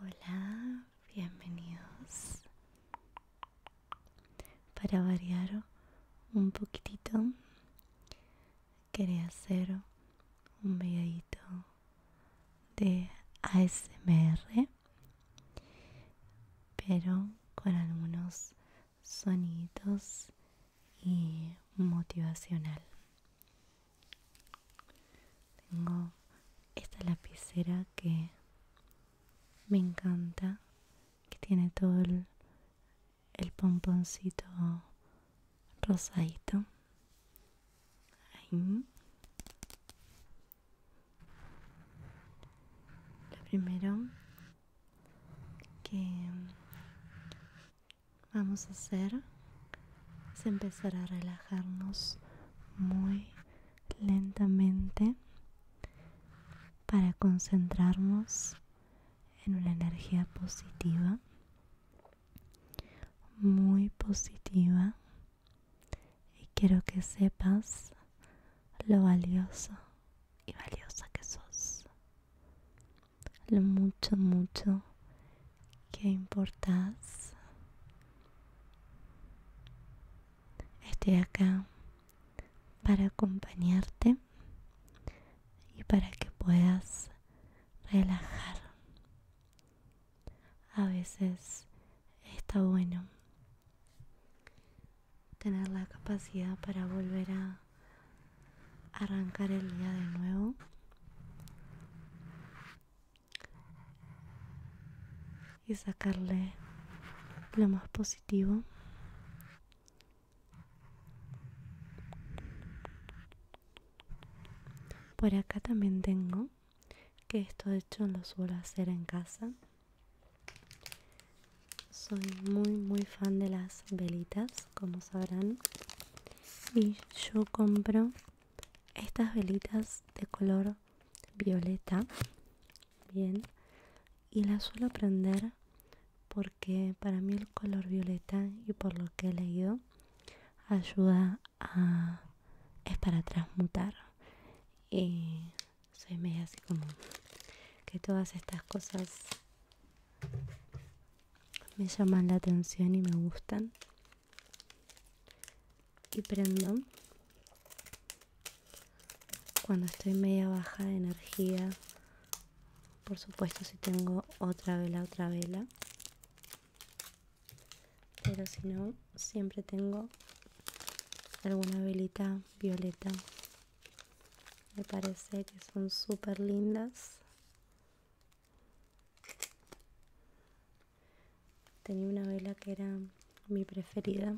Hola, bienvenidos. Para variar un poquitito, quería hacer un videito de ASMR, pero con algunos sonidos y motivacional. Tengo esta lapicera que me encanta, que tiene todo el, pomponcito rosadito. primero que vamos a hacer es empezar a relajarnos muy lentamente para concentrarnos en una energía positiva, muy positiva, y quiero que sepas lo valioso y valiosa que sos, lo mucho, mucho qué importas Estoy acá para acompañarte y para que puedas relajar. A veces está bueno tener la capacidad para volver a arrancar el día de nuevo y sacarle lo más positivo. Por acá también tengo, que esto de hecho lo suelo hacer en casa. Soy muy muy fan de las velitas, como sabrán. Y yo compro estas velitas de color violeta bien y las suelo prender porque para mí el color violeta y por lo que he leído ayuda a es para transmutar y soy me así como que todas estas cosas me llaman la atención y me gustan y prendo cuando estoy media baja de energía por supuesto si tengo otra vela otra vela pero si no siempre tengo alguna velita violeta me parece que son súper lindas Tenía una vela que era mi preferida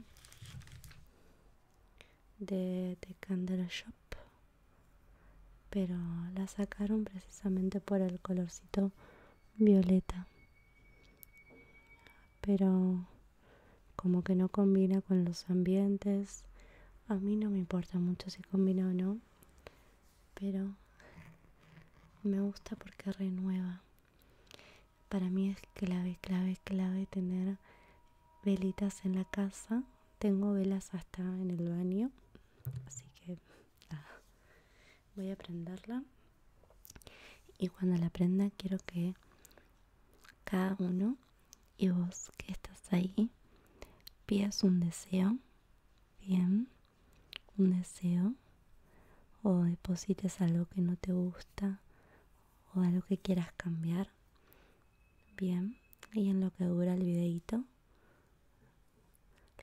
de, de Candle Shop, pero la sacaron precisamente por el colorcito violeta. Pero como que no combina con los ambientes. A mí no me importa mucho si combina o no pero me gusta porque renueva. Para mí es clave, clave, clave tener velitas en la casa. Tengo velas hasta en el baño, así que ah, voy a prenderla. Y cuando la prenda quiero que cada uno y vos que estás ahí pidas un deseo bien, un deseo o deposites algo que no te gusta o algo que quieras cambiar. Bien, y en lo que dura el videito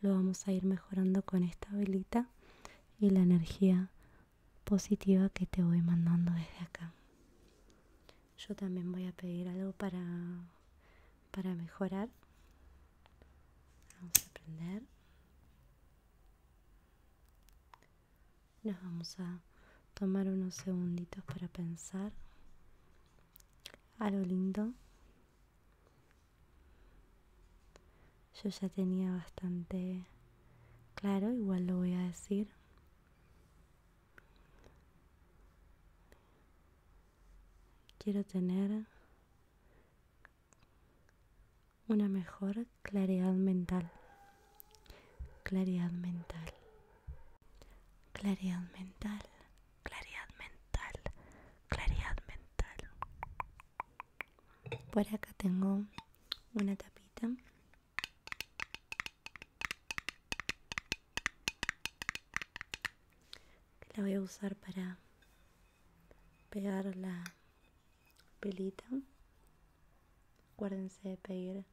lo vamos a ir mejorando con esta velita y la energía positiva que te voy mandando desde acá. Yo también voy a pedir algo para para mejorar. Vamos a prender. Nos vamos a tomar unos segunditos para pensar. a lo lindo. Yo ya tenía bastante claro, igual lo voy a decir. Quiero tener una mejor claridad mental. Claridad mental. Claridad mental. Claridad mental. Claridad mental. Por acá tengo una tapita que la voy a usar para pegar la pelita acuérdense de pedir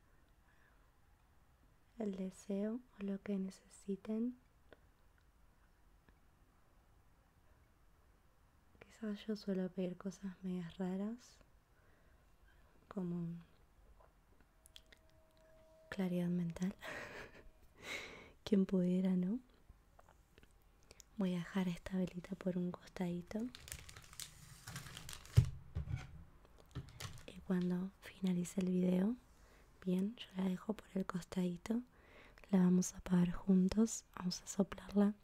el deseo o lo que necesiten quizás yo suelo pedir cosas medias raras como claridad mental. Quien pudiera, ¿no? Voy a dejar esta velita por un costadito. Y cuando finalice el video, bien, yo la dejo por el costadito. La vamos a apagar juntos. Vamos a soplarla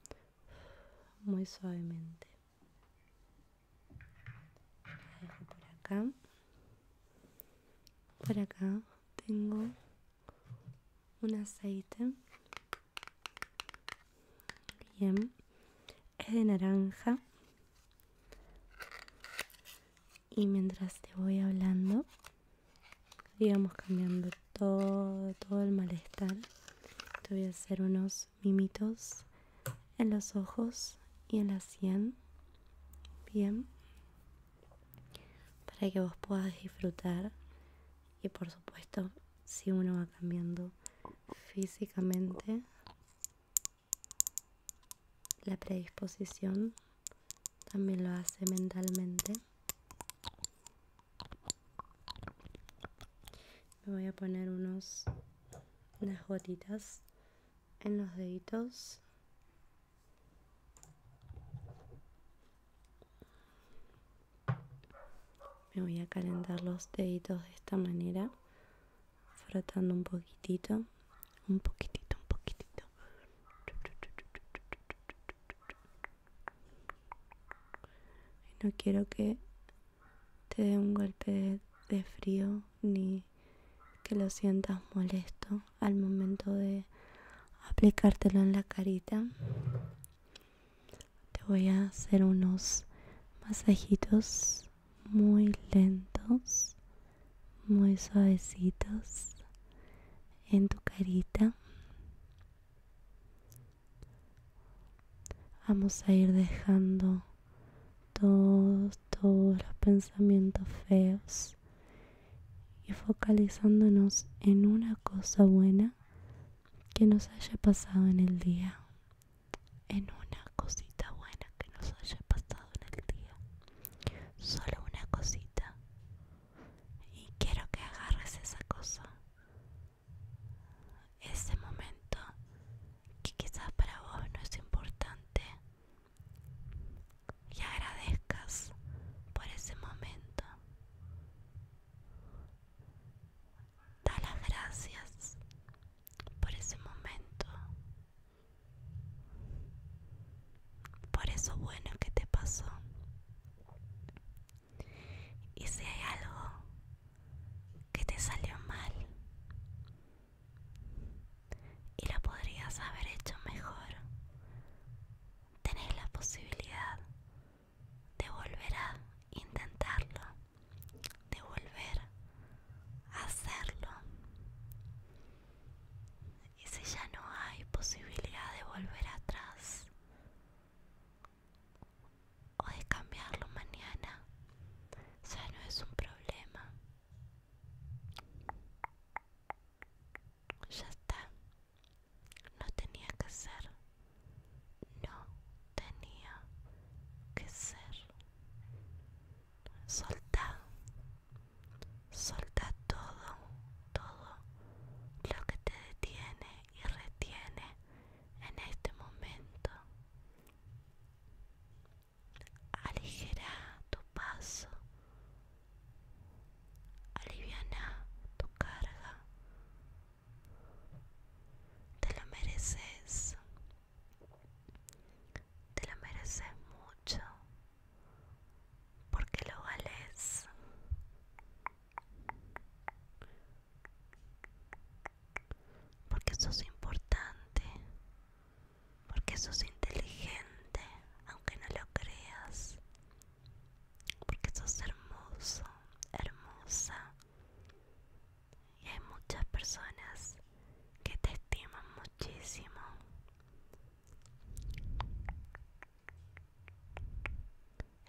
muy suavemente por acá. Por acá tengo un aceite. Bien. Es de naranja. Y mientras te voy hablando, digamos cambiando todo, todo el malestar, te voy a hacer unos mimitos en los ojos y en la sien. Bien. Para que vos puedas disfrutar. Y por supuesto, si uno va cambiando físicamente, la predisposición también lo hace mentalmente. Me voy a poner unos unas gotitas en los deditos. Me voy a calentar los deditos de esta manera, frotando un poquitito, un poquitito, un poquitito. no quiero que te dé un golpe de frío ni que lo sientas molesto al momento de aplicártelo en la carita. Te voy a hacer unos masajitos muy lentos, muy suavecitos en tu carita. Vamos a ir dejando todos, todos los pensamientos feos y focalizándonos en una cosa buena que nos haya pasado en el día. En una cosita buena que nos haya pasado en el día. Solo una cosita. Y quiero que agarres esa cosa. Ese momento que quizás para vos no es importante y agradezcas por ese momento. Da las gracias por ese momento, por eso bueno que te pasó. Y si hay algo que te salió mal, y lo podrías haber hecho mejor. Tenés la posibilidad de volver a intentarlo, de volver a hacerlo. Y si ya no hay posibilidad de volver atrás, o cambiarlo mañana ya no es un problema ya está no tenía que ser no tenía que ser Soltado. solta todo todo lo que te detiene y retiene en este momento aligera tu paso, aliviana tu carga, te lo mereces, te lo mereces mucho, porque lo vales porque sos importante, porque sos inteligente, aunque no lo creas, porque sos hermoso, hermosa. Y hay muchas personas que te estiman muchísimo.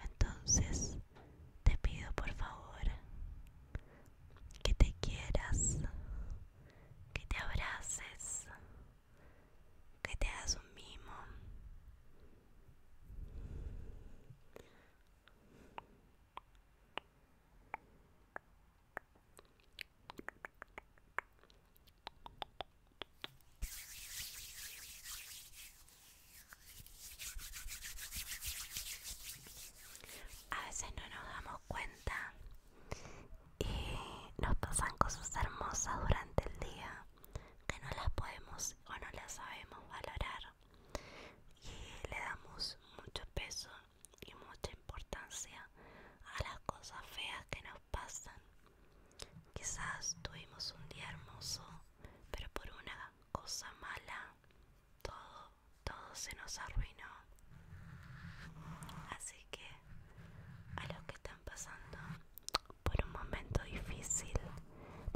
Entonces, te pido por favor que te quieras, que te abraces, que te hagas un mimo a veces no nos damos cuenta y nos pasan cosas hermosas durante el día que no las podemos o no las sabemos valorar y le damos mucho peso y mucha importancia a las cosas feas que nos pasan. Quizás tuvimos un día hermoso, pero por una cosa mala todo todo se nos arruinó. Así que a los que están pasando por un momento difícil,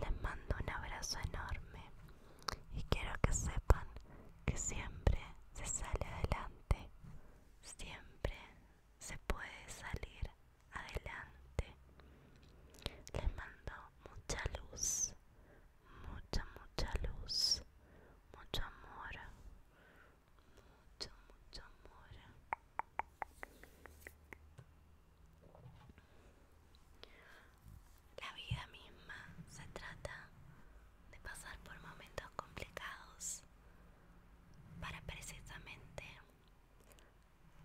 les mando un abrazo enorme y quiero que sepan que siempre se sale adelante, siempre se puede salir adelante. Les mando mucha luz, mucha, mucha luz, mucho amor, mucho, mucho amor. La vida misma se trata de pasar por momentos complicados para precisamente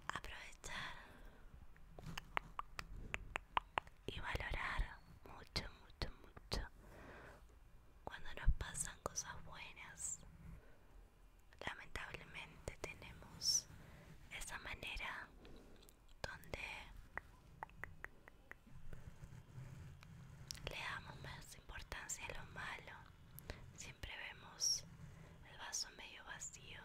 aprovechar y valorar mucho, mucho, mucho cuando nos pasan cosas buenas. Lamentablemente tenemos esa manera donde le damos más importancia a lo malo. Siempre vemos el vaso medio vacío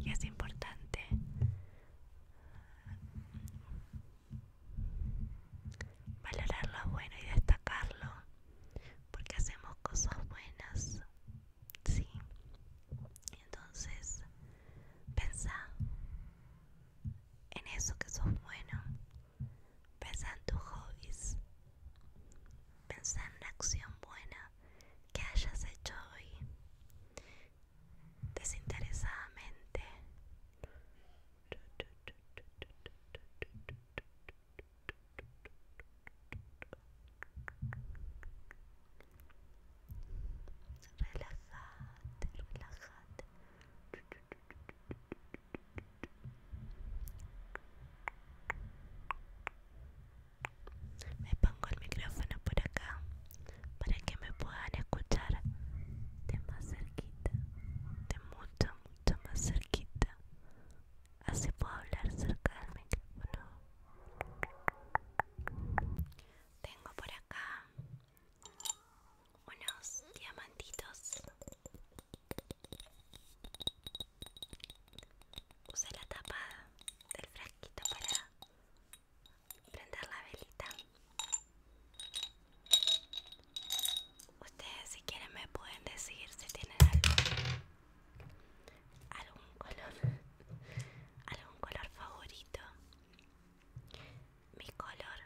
y es importante valorar lo bueno y destacarlo, porque hacemos cosas buenas, sí. Entonces, pensá en eso que sos bueno. Pensá en tus hobbies. Pensá en la acción buena que hayas hecho hoy. Desinteresadamente. relajate relájate, me pongo el micrófono por acá para que me puedan escuchar de más cerquita, de mucho, mucho más cerquita. Así puedo hablar cerca del micrófono. Tengo por acá unos diamantitos. use la tapada del frasquito para prender la velita. Ustedes si quieren me pueden decir si tienen algún algún color algún color favorito mi color,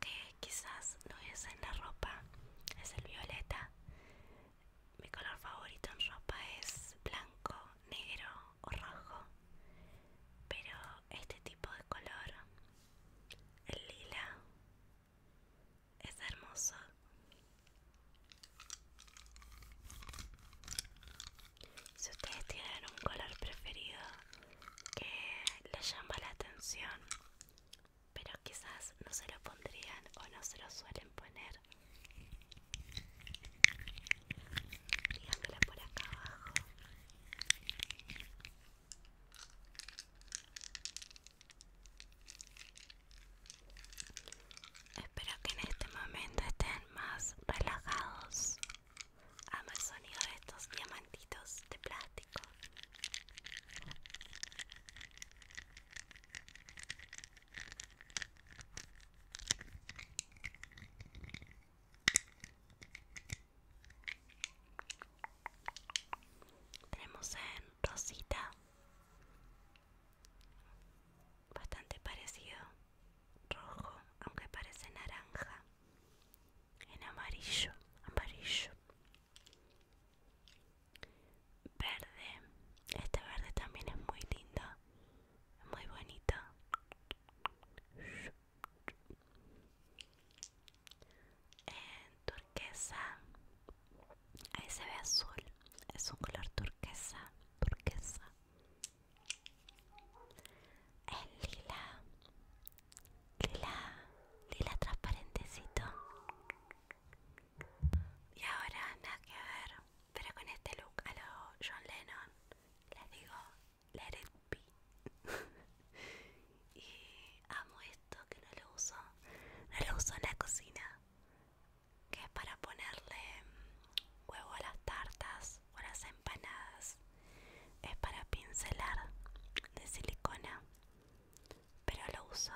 que quizás no es en la ropa, es el violeta. Mi color favorito en ropa es blanco, negro o rojo. Pero este tipo de color, el lila, es hermoso. Si ustedes tienen un color preferido que les llama la atención, pero quizás no se lo pondrían o no se lo suelen poner, díganmelo por acá abajo. Espero que en este momento estén más relajados Amo el sonido de estos diamantitos de plástico. Tenemos en Rosita, bastante parecido rojo, aunque parece naranja, en amarillo, amarillo, verde, este verde también es muy lindo, muy bonito. En turquesa, ahí se ve azul, es un color turquesa, turquesa. Es lila lila lila transparentecito y ahora nada que ver pero con este look a lo John Lennon les digo let it be y amo esto que no lo uso no lo uso en la cocina que es para ponerle huevo a las tartas o las empanadas. Es para pincelar de silicona, pero lo uso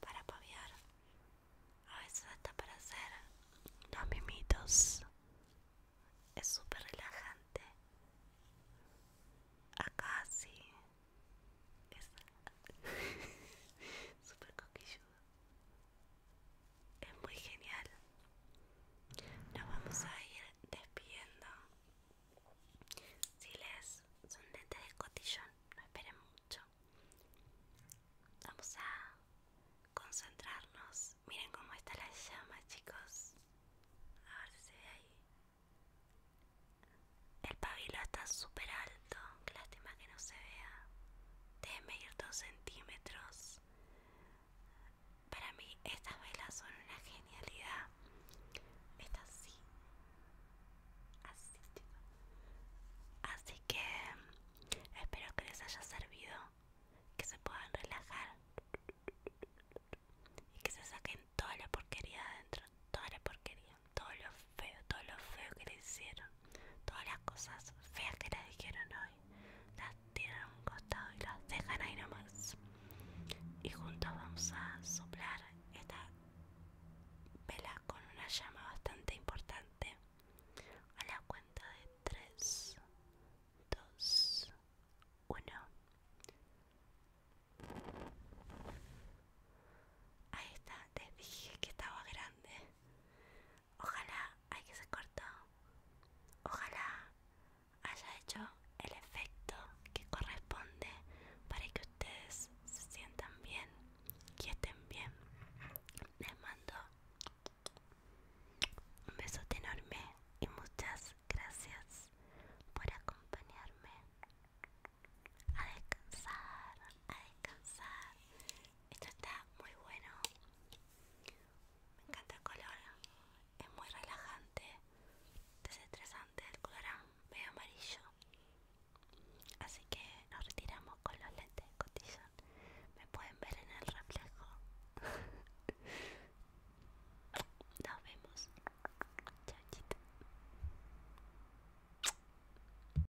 para paviar. A veces hasta para hacer los mimitos. Es súper relajante. Acá sí. Es súper coquilludo es muy genial. Nos vamos a ir despidiendo. Si les son lentes de cotillón, no esperen mucho. Vamos a concentrarnos. Miren cómo está la llama, chicos. A ver si se ve ahí. El pabilo está súper alto. Que lástima que no se vea. de medir dos centímetros. Para mí estas velas son una genialidad. Está así. Así, Así que espero que les haya servido. Que se puedan relajar. Y que se saquen toda la porquería de adentro. Toda la porquería. Todo lo feo, todo lo feo que le hicieron. Todas las cosas feas que te dijeron hoy las tiran a un costado y las dejan ahí nomás. Y juntos vamos a soplar esta vela con una llama bastante importante. A la cuenta de 3, 2, 1. Ahí está, les dije que estaba grande. Ojalá, hay que se cortó. Ojalá haya hecho el efecto que corresponde para que ustedes se sientan bien y estén bien. Les mando un beso enorme y muchas gracias por acompañarme a descansar, a descansar esto está muy bueno. Me encanta el color. Es muy relajante. Desestresante el color amarillo. Así que nos retiramos con los lentes de cotillón. Me pueden ver en el reflejo. Nos vemos. Chau,